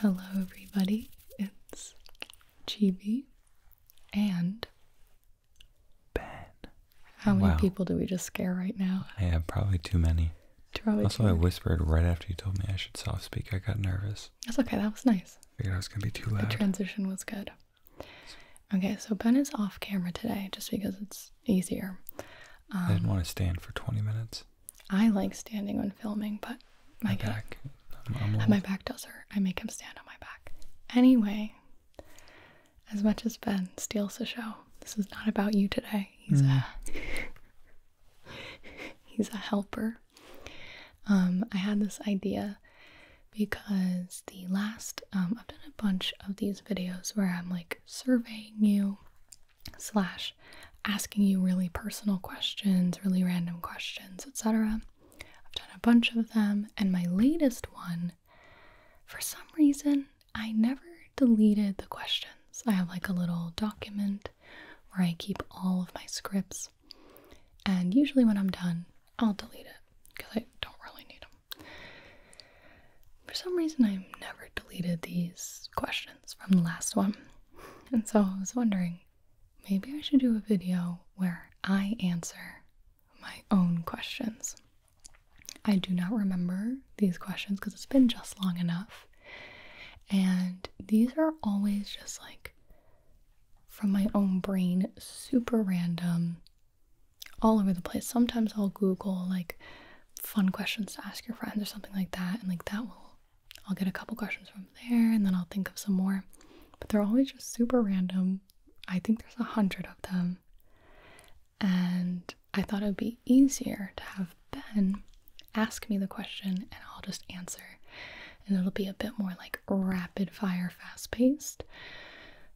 Hello, everybody. It's Chibi and Ben. How many people do we just scare right now? Yeah, probably too many. Probably also, too I whispered right after you told me I should soft speak. I got nervous. That's okay. That was nice. Figured I was gonna be too loud. The transition was good. Okay, so Ben is off camera today just because it's easier. I didn't um, want to stand for 20 minutes. I like standing when filming, but my, back, my back does hurt. I make him stand on my back. Anyway, as much as Ben steals the show, this is not about you today. He's hmm. a he's a helper. Um, I had this idea because the last um, I've done a bunch of these videos where I'm like surveying you slash asking you really personal questions, really random questions, etc. I've done a bunch of them, and my latest one, for some reason, I never deleted the questions. I have like a little document where I keep all of my scripts, and usually when I'm done, I'll delete it because I don't really need them. For some reason, I've never deleted these questions from the last one. And so I was wondering, maybe I should do a video where I answer my own questions. I do not remember these questions because it's been just long enough. And these are always just like from my own brain, super random, all over the place. Sometimes I'll Google like fun questions to ask your friends or something like that, and like that will I'll get a couple questions from there and then I'll think of some more. But they're always just super random. I think there's a hundred of them. And I thought it would be easier to have Ben ask me the question and I'll just answer. And it'll be a bit more like rapid fire fast paced.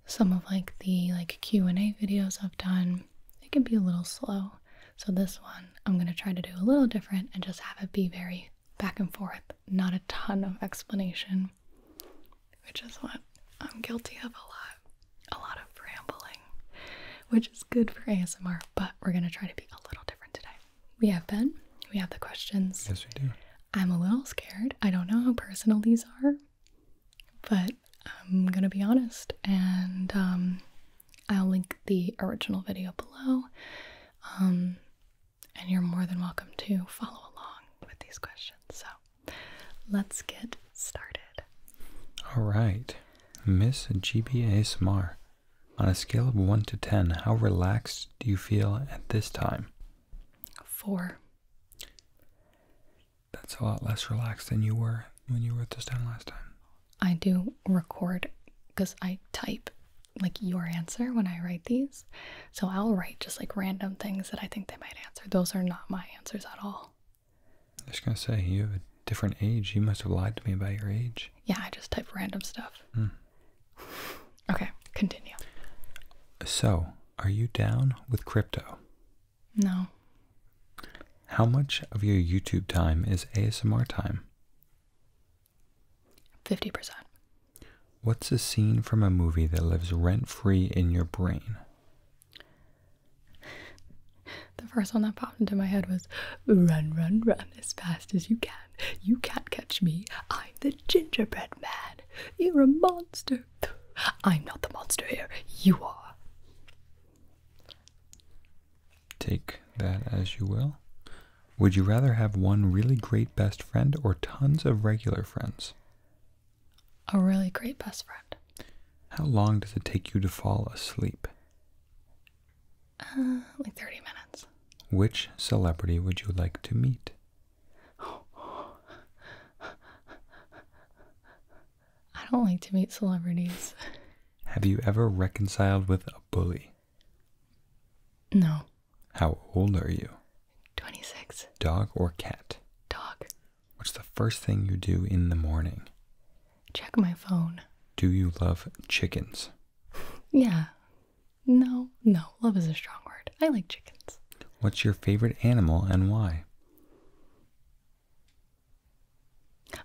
Some of like the like Q&A videos I've done it can be a little slow. So, this one I'm going to try to do a little different and just have it be very back and forth, not a ton of explanation, which is what I'm guilty of a lot. A lot of rambling, which is good for ASMR, but we're going to try to be a little different today. We have Ben, we have the questions. Yes, we do. I'm a little scared. I don't know how personal these are, but I'm going to be honest and um, I'll link the original video below. Um, and you're more than welcome to follow along with these questions. So let's get started. All right. Miss GBA Smar, on a scale of 1 to 10, how relaxed do you feel at this time? 4. That's a lot less relaxed than you were when you wrote this down last time? I do record because I type like your answer when I write these. So I'll write just like random things that I think they might answer. Those are not my answers at all. I was going to say, you have a different age. You must have lied to me about your age. Yeah, I just type random stuff. Hmm. Okay, continue. So, are you down with crypto? No. How much of your YouTube time is ASMR time? 50%. What's a scene from a movie that lives rent free in your brain? The first one that popped into my head was Run, run, run as fast as you can. You can't catch me. I'm the gingerbread man. You're a monster. I'm not the monster here. You are. Take that as you will. Would you rather have one really great best friend or tons of regular friends? A really great best friend. How long does it take you to fall asleep? Uh, like 30 minutes. Which celebrity would you like to meet? I don't like to meet celebrities. Have you ever reconciled with a bully? No. How old are you? 26. Dog or cat? Dog. What's the first thing you do in the morning? Check my phone. Do you love chickens? yeah. No, no. Love is a strong word. I like chickens. What's your favorite animal and why?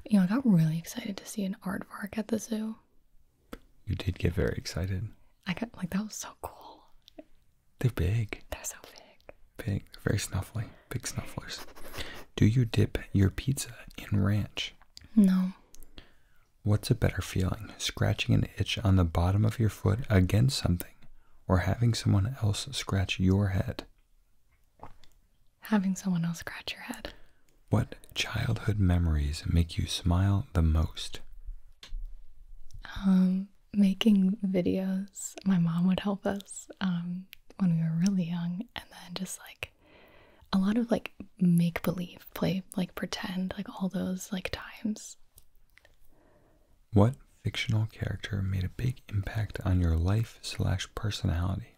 You know, I got really excited to see an art aardvark at the zoo. You did get very excited. I got like that was so cool. They're big. They're so big. Big. very snuffly. Big snufflers. Do you dip your pizza in ranch? No. What's a better feeling? Scratching an itch on the bottom of your foot against something or having someone else scratch your head? Having someone else scratch your head. What childhood memories make you smile the most? Um, making videos. My mom would help us um, when we were really young, and then just like a lot of like make believe, play, like pretend, like all those like times. What fictional character made a big impact on your life slash personality?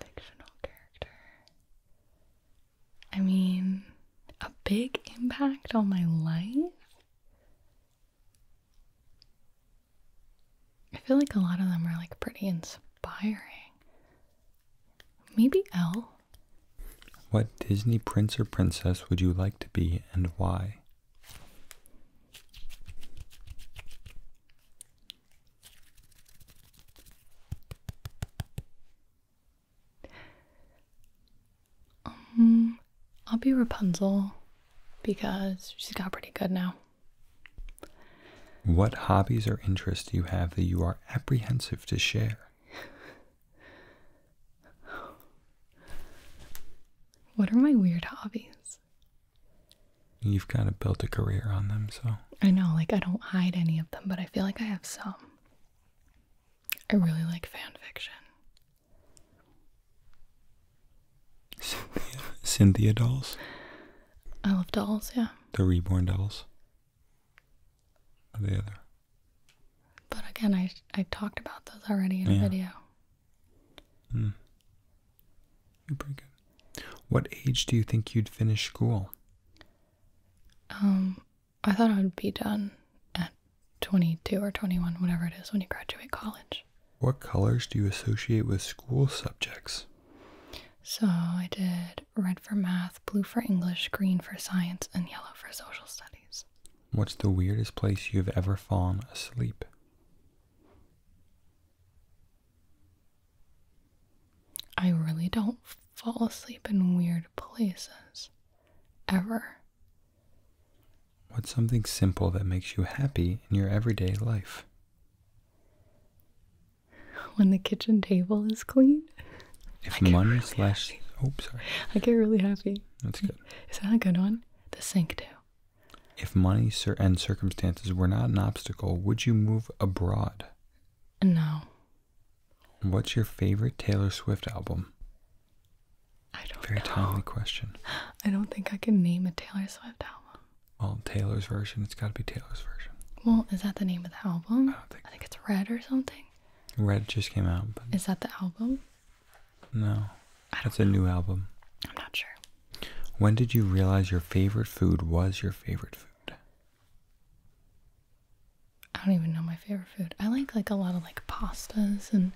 Fictional character. I mean, a big impact on my life. I feel like a lot of them are like pretty inspiring. Maybe L. What Disney prince or princess would you like to be and why? Um, I'll be Rapunzel because she's got pretty good now. What hobbies or interests do you have that you are apprehensive to share? What are my weird hobbies? You've kind of built a career on them, so. I know, like, I don't hide any of them, but I feel like I have some. I really like fan fiction. Cynthia, Cynthia dolls? I love dolls, yeah. The reborn dolls? Or the other? But again, I, I talked about those already in a video. Hmm. You're pretty good. What age do you think you'd finish school? Um, I thought I would be done at 22 or 21, whatever it is, when you graduate college. What colors do you associate with school subjects? So I did red for math, blue for English, green for science, and yellow for social studies. What's the weirdest place you've ever fallen asleep? I really don't fall asleep in weird places. Ever. What's something simple that makes you happy in your everyday life? When the kitchen table is clean. If money really slash. Happy. Oh, sorry. I get really happy. That's good. Is that a good one? The sink too. If money and circumstances were not an obstacle, would you move abroad? No. What's your favorite Taylor Swift album? I don't Very timely question. I don't think I can name a Taylor Swift album. Well, Taylor's version. It's got to be Taylor's version. Well, is that the name of the album? I don't think. I think it's Red or something. Red just came out. Is that the album? No. That's a new album. I'm not sure. When did you realize your favorite food was your favorite food? I don't even know my favorite food. I like like a lot of like pastas and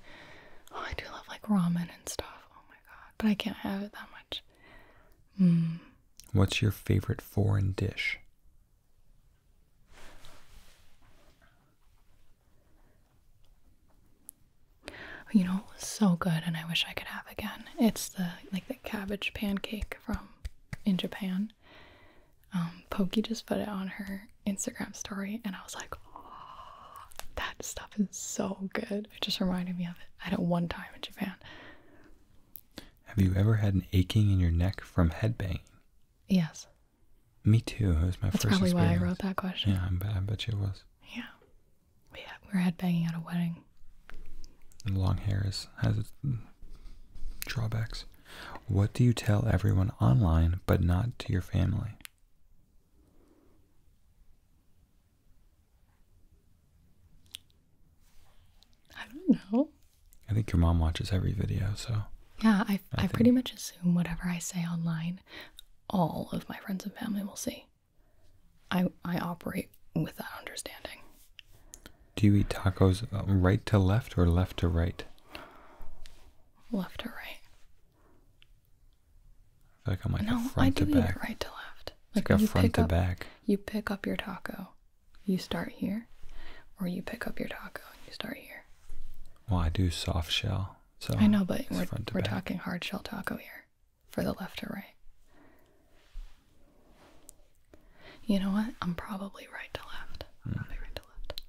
oh, I do love like ramen and stuff. Oh my god. But I can't have it that much. Mm. What's your favorite foreign dish? You know, so good, and I wish I could have again. It's the like the cabbage pancake from in Japan. Um, Pokey just put it on her Instagram story, and I was like, that stuff is so good. It just reminded me of it. I had it one time in Japan. Have you ever had an aching in your neck from head banging? Yes. Me too. It was my That's first. That's probably why I wrote that question. Yeah, I bet, I bet you it was. Yeah, we had, were headbanging at a wedding. long hair has its drawbacks. What do you tell everyone online, but not to your family? I don't know. I think your mom watches every video, so. Yeah, I, I pretty much assume whatever I say online all of my friends and family will see. I I operate with that understanding. Do you eat tacos um, right to left or left to right? Left to right. I feel like I'm like no, I do to back. right to left. Like, front to back. You pick up your taco, you start here, or you pick up your taco and you start here. Well, I do soft shell. I know, but we're, we're talking hard shell taco here for the left or right. You know what? I'm probably right to left. Hmm. Probably right to left.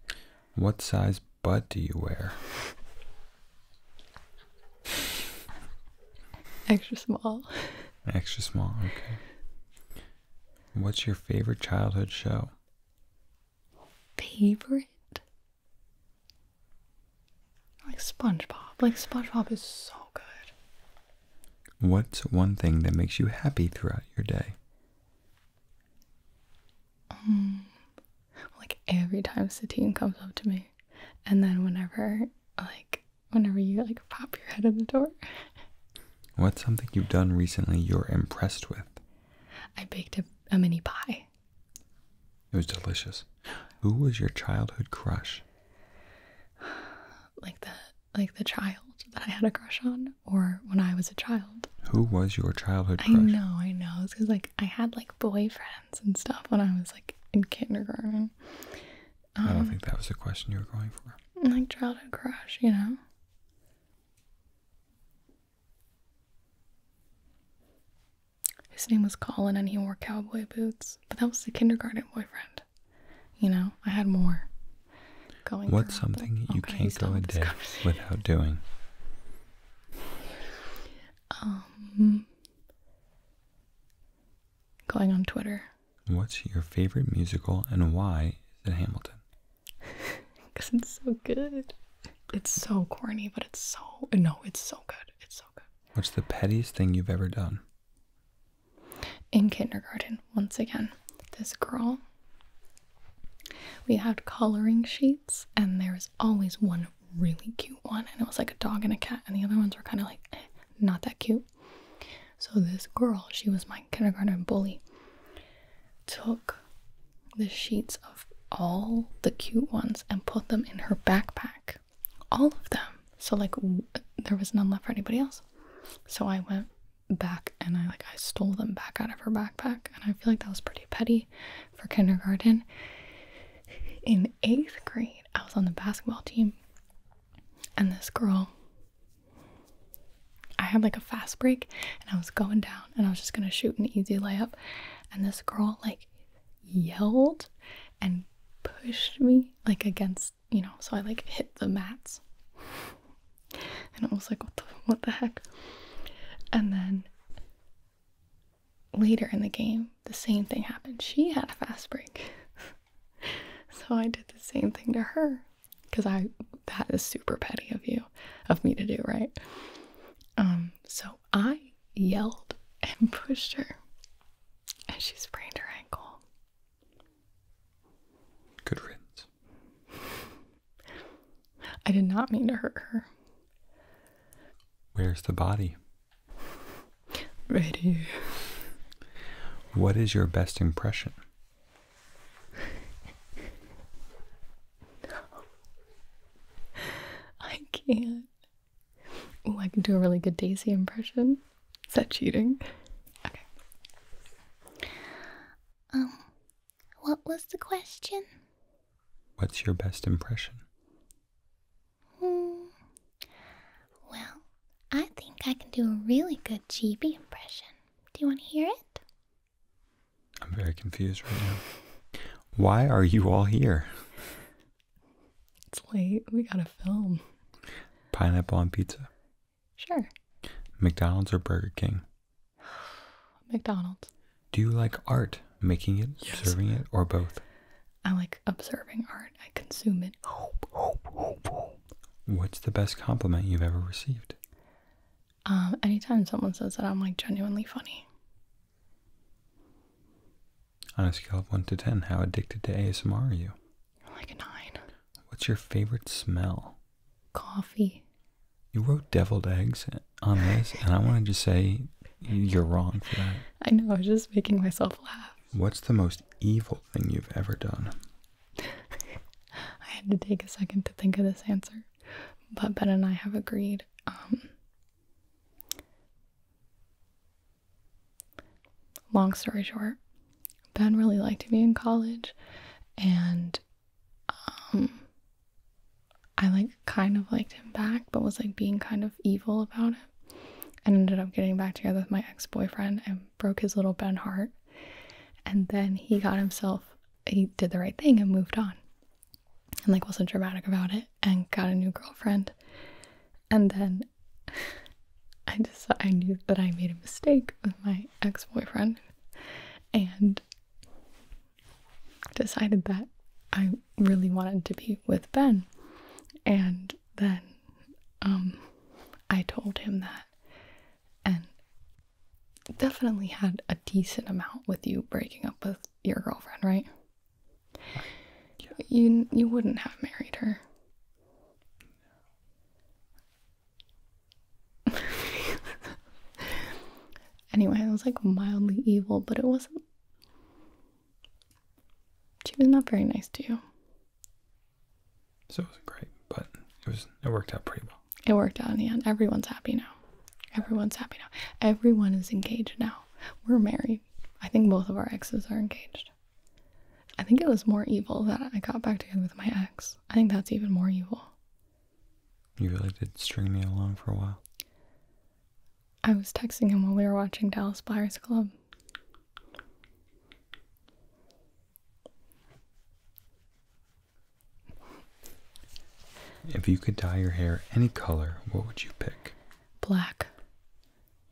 What size butt do you wear? Extra small. Extra small, okay. What's your favorite childhood show? favorite? Like SpongeBob. Like SpongeBob is so good. What's one thing that makes you happy throughout your day? Um, like every time Satine comes up to me, and then whenever, like, whenever you like pop your head in the door. What's something you've done recently you're impressed with? I baked a mini pie. It was delicious. Who was your childhood crush? Like the like the child that I had a crush on, or when I was a child. Who was your childhood crush? I know, I know. It's because like I had like boyfriends and stuff when I was like in kindergarten. I don't um, think that was the question you were going for. Like childhood crush, you know. His name was Colin and he wore cowboy boots, but that was the kindergarten boyfriend. You know, I had more going What's something you can't go a day without doing? Um, going on Twitter. What's your favorite musical and why is it Hamilton? Because it's so good. It's so corny, but it's so. No, it's so good. It's so good. What's the pettiest thing you've ever done? In kindergarten, once again, this girl. We had coloring sheets, and there was always one really cute one, and it was like a dog and a cat, and the other ones were kind of like eh, not that cute. So, this girl, she was my kindergarten bully took the sheets of all the cute ones and put them in her backpack. All of them. So, like, there was none left for anybody else. So, I went back and I like I stole them back out of her backpack and I feel like that was pretty petty for kindergarten. In 8th grade, I was on the basketball team and this girl I had like a fast break and I was going down and I was just gonna shoot an easy layup. And this girl like yelled and pushed me like against, you know, so I like hit the mats. And I was like, what the, what the heck? And then later in the game, the same thing happened. She had a fast break. so I did the same thing to her because I that is super petty of you of me to do, right? Um, so I yelled and pushed her, and she sprained her ankle. Good riddance. I did not mean to hurt her. Where's the body? Right here. What is your best impression? no. I can't. Oh, I can do a really good Daisy impression. Is that cheating? Okay. Um, what was the question? What's your best impression? Hmm. Well, I think I can do a really good Gigi impression. Do you want to hear it? I'm very confused right now. Why are you all here? It's late. We gotta film. Pineapple on pizza? Sure. McDonald's or Burger King? McDonald's. Do you like art? Making it, observing it, or both? I like observing art. I consume it. What's the best compliment you've ever received? Um, anytime someone says that, I'm like genuinely funny. On a scale of 1 to 10, how addicted to ASMR are you? Like a 9. What's your favorite smell? Coffee. You wrote deviled eggs on this, and I wanted to say you're wrong for that. I know, I was just making myself laugh. What's the most evil thing you've ever done? I had to take a second to think of this answer but Ben and I have agreed. Um, long story short, Ben really liked to be in college, and um, I like kind of liked him back, but was like being kind of evil about it, and ended up getting back together with my ex boyfriend and broke his little Ben heart. And then he got himself he did the right thing and moved on and like wasn't dramatic about it and got a new girlfriend and then i just i knew that i made a mistake with my ex-boyfriend and decided that i really wanted to be with ben and then um, i told him that and definitely had a decent amount with you breaking up with your girlfriend, right? You you wouldn't have married her. anyway, it was like mildly evil, but it wasn't. She was not very nice to you. So it was great but it was it worked out pretty well. It worked out in the end. Everyone's happy now. Everyone's happy now. Everyone is engaged now. We're married. I think both of our exes are engaged. I think it was more evil that I got back together with my ex. I think that's even more evil. You really did string me along for a while. I was texting him while we were watching Dallas Buyers Club. If you could dye your hair any color, what would you pick? Black.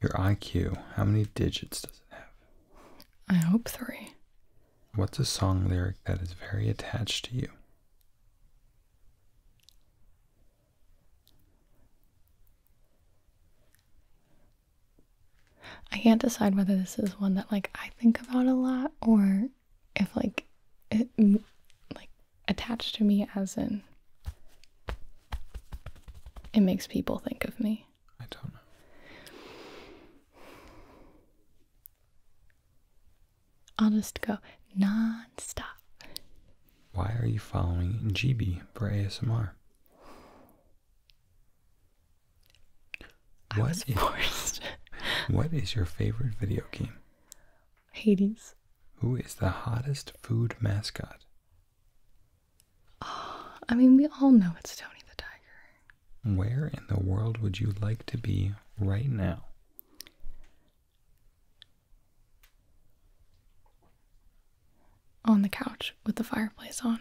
Your IQ, how many digits does it have? I hope three. What's a song lyric that is very attached to you? I can't decide whether this is one that like I think about a lot or if like it like attached to me as in it makes people think of me. I don't know. I'll just go non-stop. Why are you following GB for ASMR? I what is your favorite video game? Hades. Who is the hottest food mascot? Oh, I mean, we all know it's Tony the Tiger. Where in the world would you like to be right now? On the couch with the fireplace on.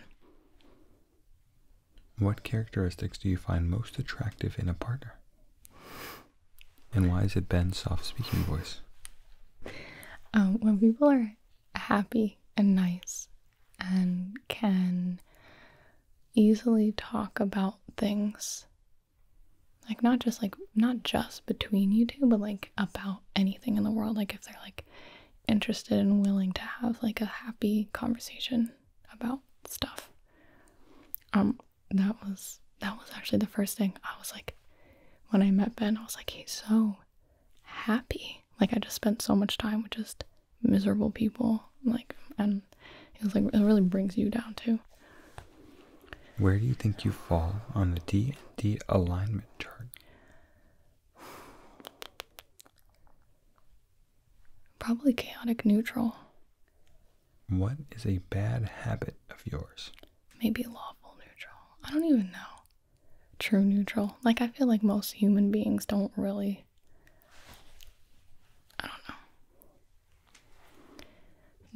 What characteristics do you find most attractive in a partner? And why is it Ben's soft speaking voice? Uh, when people are happy and nice and can easily talk about things, like not just like not just between you two, but like about anything in the world. Like if they're like interested and willing to have like a happy conversation about stuff. Um, that was that was actually the first thing I was like when I met Ben, I was like, he's so happy. Like I just spent so much time with just miserable people. Like and it was like it really brings you down too. Where do you think you fall on the D and D alignment chart? Probably chaotic neutral. What is a bad habit of yours? Maybe lawful neutral. I don't even know. True neutral. Like, I feel like most human beings don't really. I don't know.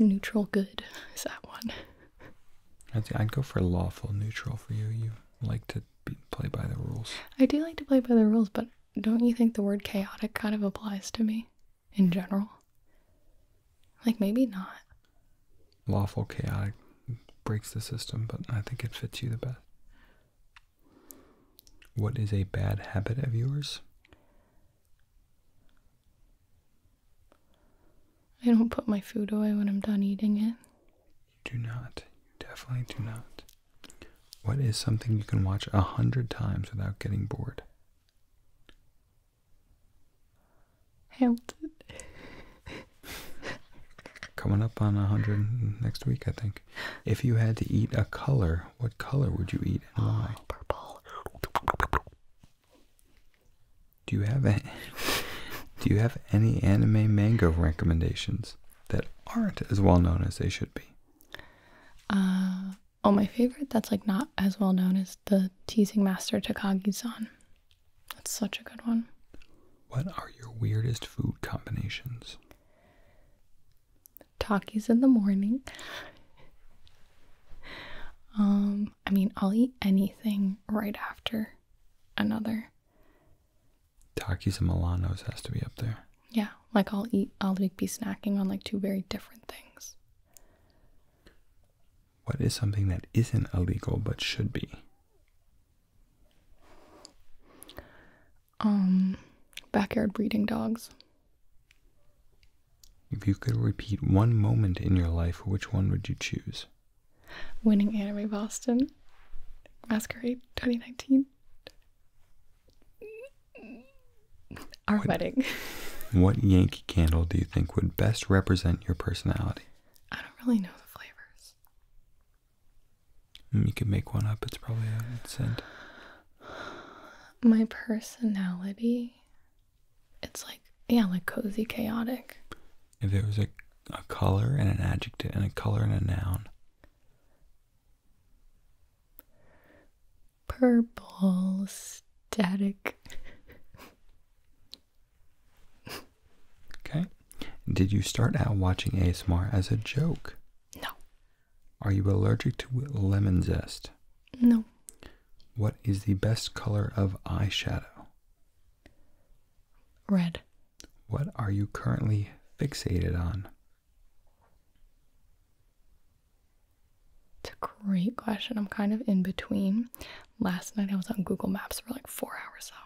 Neutral good is that one. I'd, I'd go for lawful neutral for you. You like to play by the rules. I do like to play by the rules, but don't you think the word chaotic kind of applies to me in general? Like, maybe not. Lawful chaotic breaks the system, but I think it fits you the best. What is a bad habit of yours? I don't put my food away when I'm done eating it. do not. definitely do not. What is something you can watch a hundred times without getting bored? Hamilton. Coming up on a hundred next week, I think. If you had to eat a color, what color would you eat and why? Oh, purple. Do you have a, Do you have any anime manga recommendations that aren't as well known as they should be? Uh, oh, my favorite that's like not as well known as the Teasing Master Takagi-san. That's such a good one. What are your weirdest food combinations? Takis in the morning. um, I mean, I'll eat anything right after another. Takis and Milano's has to be up there. Yeah, like I'll eat, I'll be snacking on like two very different things. What is something that isn't illegal but should be? Um, backyard breeding dogs. If you could repeat one moment in your life, which one would you choose? Winning Anime Boston Masquerade 2019. Our wedding. what Yankee candle do you think would best represent your personality? I don't really know the flavors. Mm, you could make one up. It's probably a scent. My personality, it's like, yeah, like cozy, chaotic. If there was a, a color and an adjective and a color and a noun, Purple static. okay. Did you start out watching ASMR as a joke? No. Are you allergic to lemon zest? No. What is the best color of eyeshadow? Red. What are you currently fixated on? It's a great question. I'm kind of in between. Last night I was on Google Maps for like four hours, though.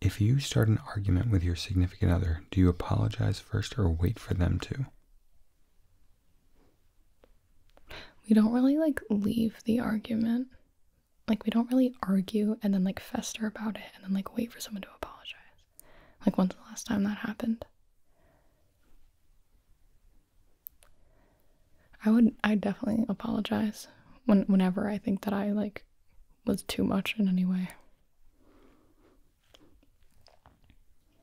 If you start an argument with your significant other, do you apologize first or wait for them to? We don't really like leave the argument like we don't really argue and then like fester about it and then like wait for someone to apologize. Like when's the last time that happened? I would I definitely apologize when whenever I think that I like was too much in any way.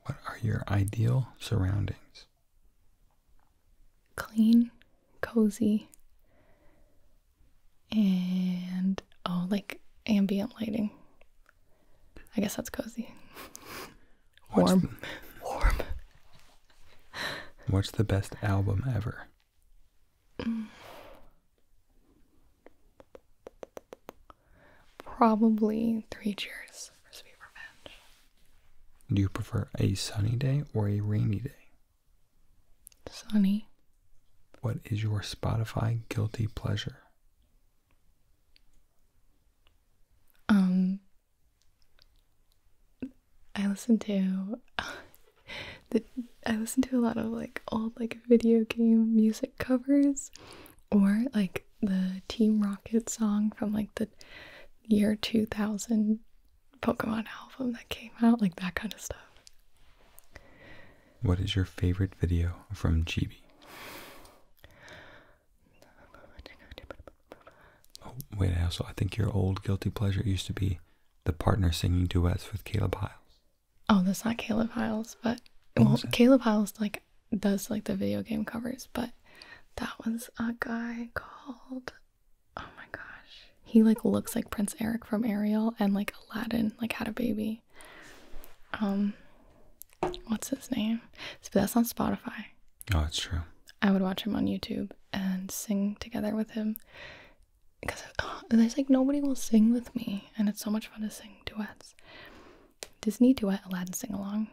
What are your ideal surroundings? Clean, cozy, and oh, like ambient lighting. I guess that's cozy. Warm. Warm. What's the best album ever? Probably Three Cheers for Sweet Revenge. Do you prefer a sunny day or a rainy day? Sunny. What is your Spotify guilty pleasure? Um, I listen to the, I listen to a lot of like old like video game music covers, or like the Team Rocket song from like the year two thousand Pokemon album that came out, like that kind of stuff. What is your favorite video from GB? Oh, wait, I also I think your old guilty pleasure used to be the partner singing duets with Caleb Hiles. Oh, that's not Caleb Hiles, but well, Caleb Hiles like does like the video game covers, but that was a guy called Oh my gosh. He like looks like Prince Eric from Ariel and like Aladdin like had a baby. Um what's his name? So that's on Spotify. Oh, that's true. I would watch him on YouTube and sing together with him. Because oh, uh, there's like nobody will sing with me, and it's so much fun to sing duets. Disney duet Aladdin sing along.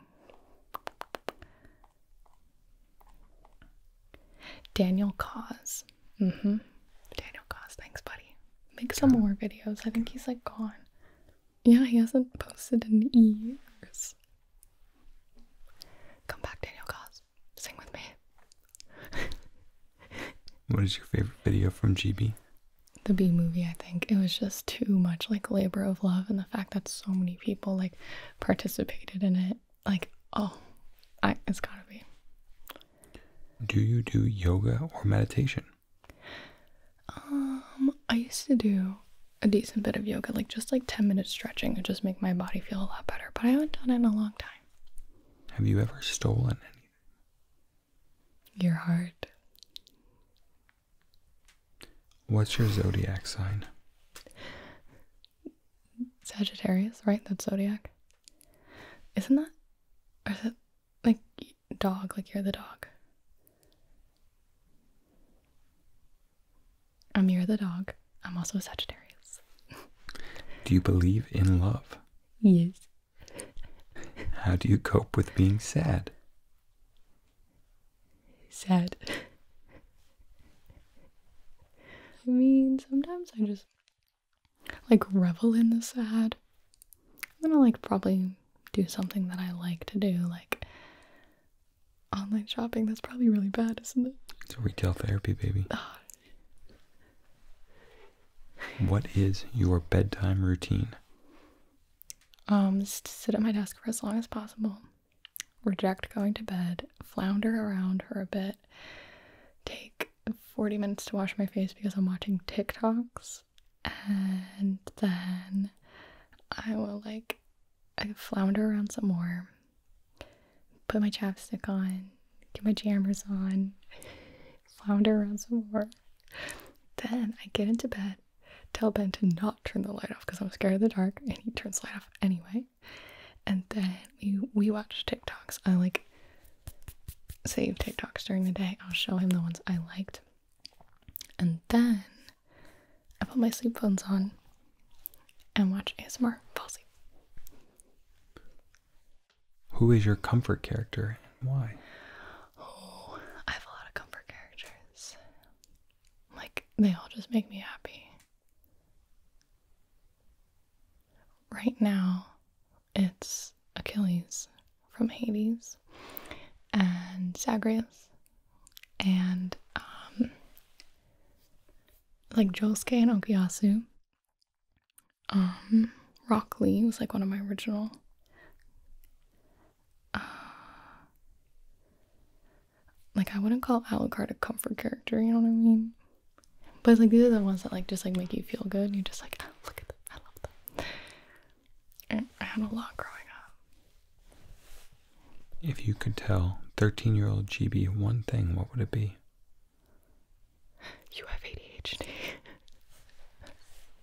Daniel Cause. Mm-hmm. Daniel Goss, thanks, buddy. Make some more videos. I think he's like gone. Yeah, he hasn't posted in years. Come back, Daniel Goss. Sing with me. what is your favorite video from GB? The B movie, I think. It was just too much like labor of love and the fact that so many people like participated in it like oh I, it's gotta be do you do yoga or meditation um i used to do a decent bit of yoga like just like 10 minutes stretching would just make my body feel a lot better but i haven't done it in a long time have you ever stolen anything your heart what's your zodiac sign Sagittarius, right? That zodiac. Isn't that? Or is that like dog? Like you're the dog. I'm you're the dog. I'm also a Sagittarius. do you believe in love? Yes. How do you cope with being sad? Sad. I mean, sometimes I just like revel in the sad. I'm gonna like probably do something that I like to do, like online shopping. That's probably really bad, isn't it? It's retail therapy, baby. what is your bedtime routine? Um, just sit at my desk for as long as possible. Reject going to bed, flounder around for a bit, take 40 minutes to wash my face because I'm watching TikToks, and then I will like flounder around some more, put my chapstick on, get my jammers on, flounder around some more. Then I get into bed, tell Ben to not turn the light off because I'm scared of the dark, and he turns the light off anyway. And then we, we watch TikToks. I like save TikToks during the day. I'll show him the ones I liked. And then I put my sleep phones on and watch ASMR fall asleep. Who is your comfort character and why? Oh, I have a lot of comfort characters. Like, they all just make me happy. Right now, it's Achilles from Hades and Zagreus and um, like Josuke and Okuyasu. Um, Rock Lee was like one of my original. Uh, like I wouldn't call Alucard a comfort character, you know what I mean? But like these are the ones that like just like make you feel good. you're just like, oh, look at them. I love them. I had a lot growing up. If you could tell 13 year old GB one thing, what would it be? You have ADHD.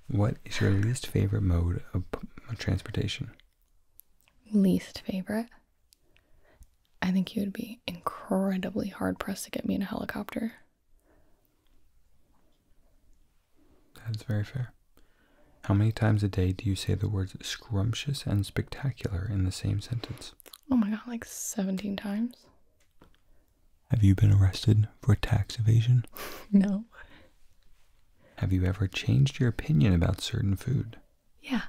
what is your least favorite mode of transportation? Least favorite? I think you would be incredibly hard pressed to get me in a helicopter. That's very fair. How many times a day do you say the words scrumptious and spectacular in the same sentence? Oh my god, like 17 times. Have you been arrested for tax evasion? no. Have you ever changed your opinion about certain food? Yeah.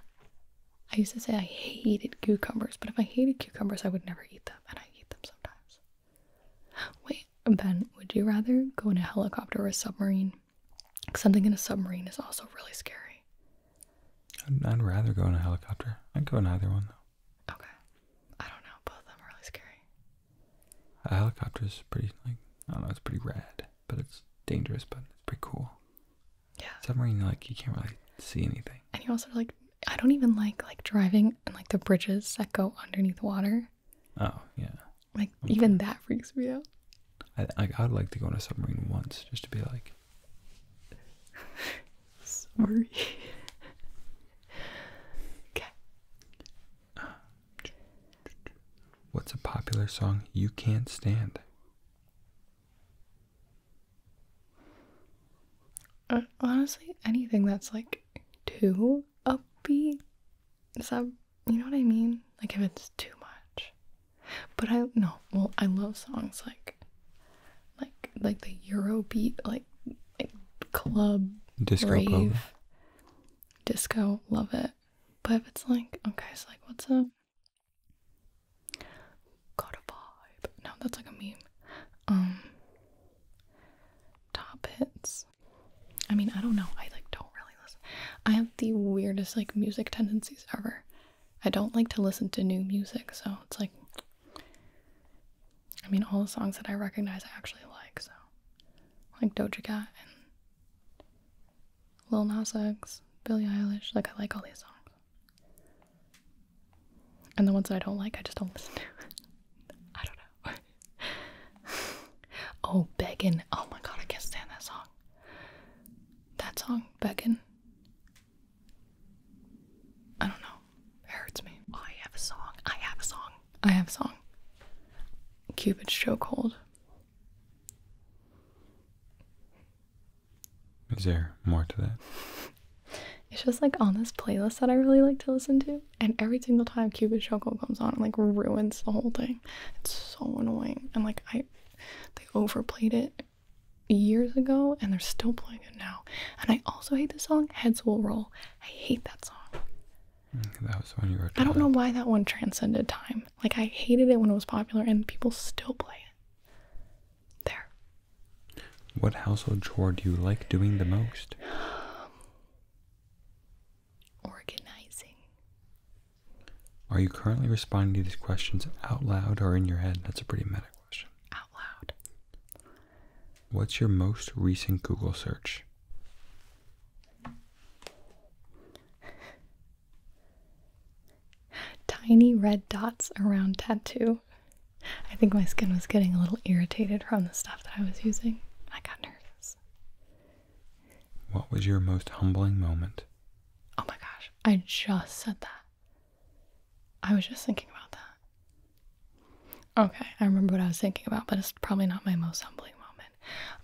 I used to say I hated cucumbers, but if I hated cucumbers, I would never eat them, and I eat them sometimes. Wait, Ben, would you rather go in a helicopter or a submarine? Something in a submarine is also really scary. I'd, rather go in a helicopter. I'd go in either one, though. Okay. I don't know. Both of them are really scary. A helicopter is pretty, like, I don't know, it's pretty rad, but it's dangerous, but it's pretty cool. Yeah. Submarine, like you can't really see anything. And you also like I don't even like like driving and like the bridges that go underneath water. Oh yeah. Like even that freaks me out. I I'd like to go on a submarine once just to be like. Sorry. okay. What's a popular song you can't stand? Uh, honestly, anything that's like too upbeat. Is that, you know what I mean? Like if it's too much. But I, no, well, I love songs like, like, like the Eurobeat, like, like club, disco, rave, disco, love it. But if it's like, okay, so like, what's a, Got a vibe. No, that's like a meme. Um top hits. I mean, I don't know. I like don't really listen. I have the weirdest like music tendencies ever. I don't like to listen to new music, so it's like I mean, all the songs that I recognize I actually like, so like Doja Cat and Lil Nas X, Billie Eilish, like I like all these songs. And the ones that I don't like, I just don't listen to. I don't know. oh, begging! Oh my god, I can't stand that song. That song, begging. I don't know. It hurts me. Oh, I have a song. I have a song. I have a song. Cupid's chokehold. Is there more to that? It's just like on this playlist that I really like to listen to, and every single time Cupid Shuffle comes on, it like ruins the whole thing. It's so annoying, and like I, they overplayed it years ago, and they're still playing it now. And I also hate the song "Heads Will Roll." I hate that song. Mm, that was when you were. I don't know why that one transcended time. Like I hated it when it was popular, and people still play it there. What household chore do you like doing the most? Um, organizing. Are you currently responding to these questions out loud or in your head? That's a pretty meta question. Out loud. What's your most recent Google search? tiny red dots around tattoo. I think my skin was getting a little irritated from the stuff that I was using. I got nervous. What was your most humbling moment? Oh my gosh, I just said that. I was just thinking about that. Okay, I remember what I was thinking about, but it's probably not my most humbling moment.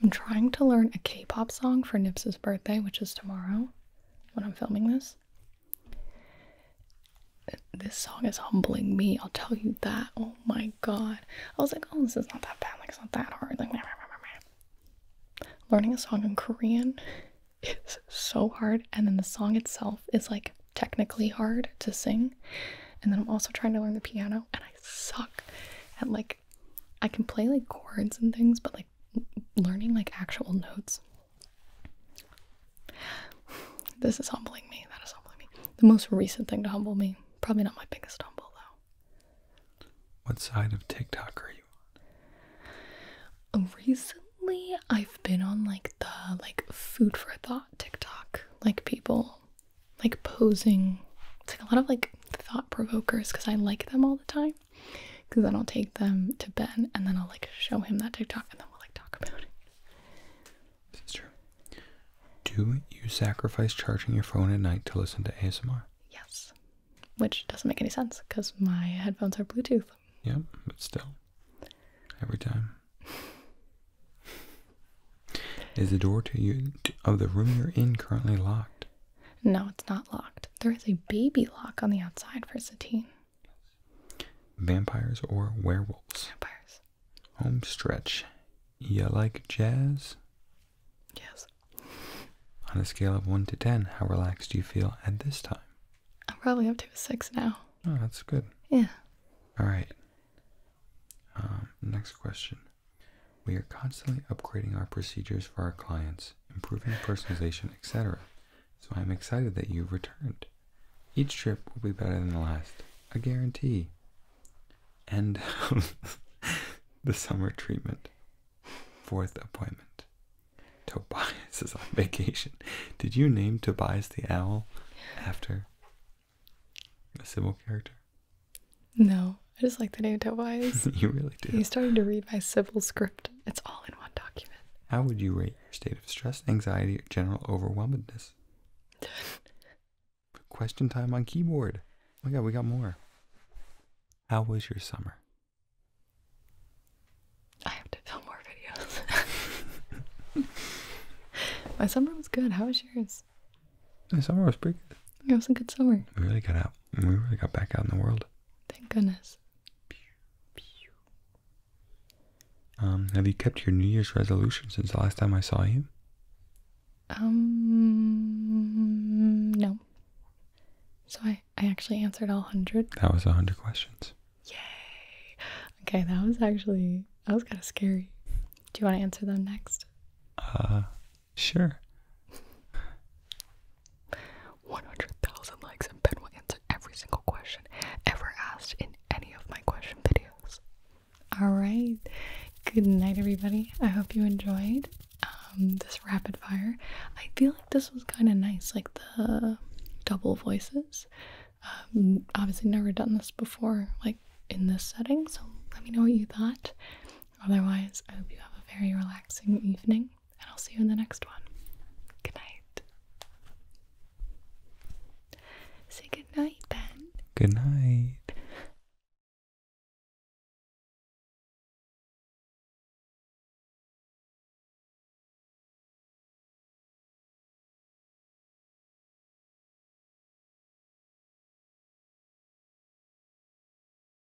I'm trying to learn a K pop song for Nips's birthday, which is tomorrow when I'm filming this. This song is humbling me, I'll tell you that. Oh my god. I was like, oh, this is not that bad, like, it's not that hard. Like, learning a song in Korean is so hard, and then the song itself is like technically hard to sing. And then I'm also trying to learn the piano, and I suck at like I can play like chords and things, but like learning like actual notes. This is humbling me. That is humbling me. The most recent thing to humble me. Probably not my biggest humble though. What side of TikTok are you on? Uh, recently, I've been on like the like food for thought TikTok. Like people like posing. It's like a lot of like thought provokers because I like them all the time. Because then I'll take them to Ben and then I'll like show him that TikTok and then we'll like talk about it. This true. Do you sacrifice charging your phone at night to listen to ASMR? Yes. Which doesn't make any sense because my headphones are Bluetooth. Yep, but still. Every time. Is the door to you of the room you're in currently locked? No, it's not locked. There is a baby lock on the outside for Satine. Vampires or werewolves? Vampires. Home stretch. You like jazz? Yes. On a scale of 1 to 10, how relaxed do you feel at this time? I'm probably up to a 6 now. Oh, that's good. Yeah. All right. Um, next question. We are constantly upgrading our procedures for our clients improving personalization, etc. So I'm excited that you've returned. Each trip will be better than the last, a guarantee. And the summer treatment. Fourth appointment. Tobias is on vacation. Did you name Tobias the owl after a Sybil character? No, I just like the name Tobias. you really do. You started to read my Sybil script. It's all in one document. How would you rate your state of stress, anxiety, or general overwhelmedness? Question time on keyboard. Oh my god, we got more. How was your summer? I have to film more videos. My summer was good. How was yours? My summer was pretty good. It was a good summer. We really got out we really got back out in the world. Thank goodness. Um, have you kept your New Year's resolution since the last time I saw you? Um, no. So I, I actually answered all 100. That was 100 questions. Yay. Okay, that was actually, that was kind of scary. Do you want to answer them next? Uh, Sure. 100,000 likes and Ben will answer every single question ever asked in any of my question videos. Alright, good night everybody. I hope you enjoyed um, this rapid fire. I feel like this was kind of nice, like the double voices. Um, obviously never done this before, like in this setting, so let me know what you thought. Otherwise, I hope you have a very relaxing evening and I'll see you in the next one. Good night. Say good night, Ben. Good night.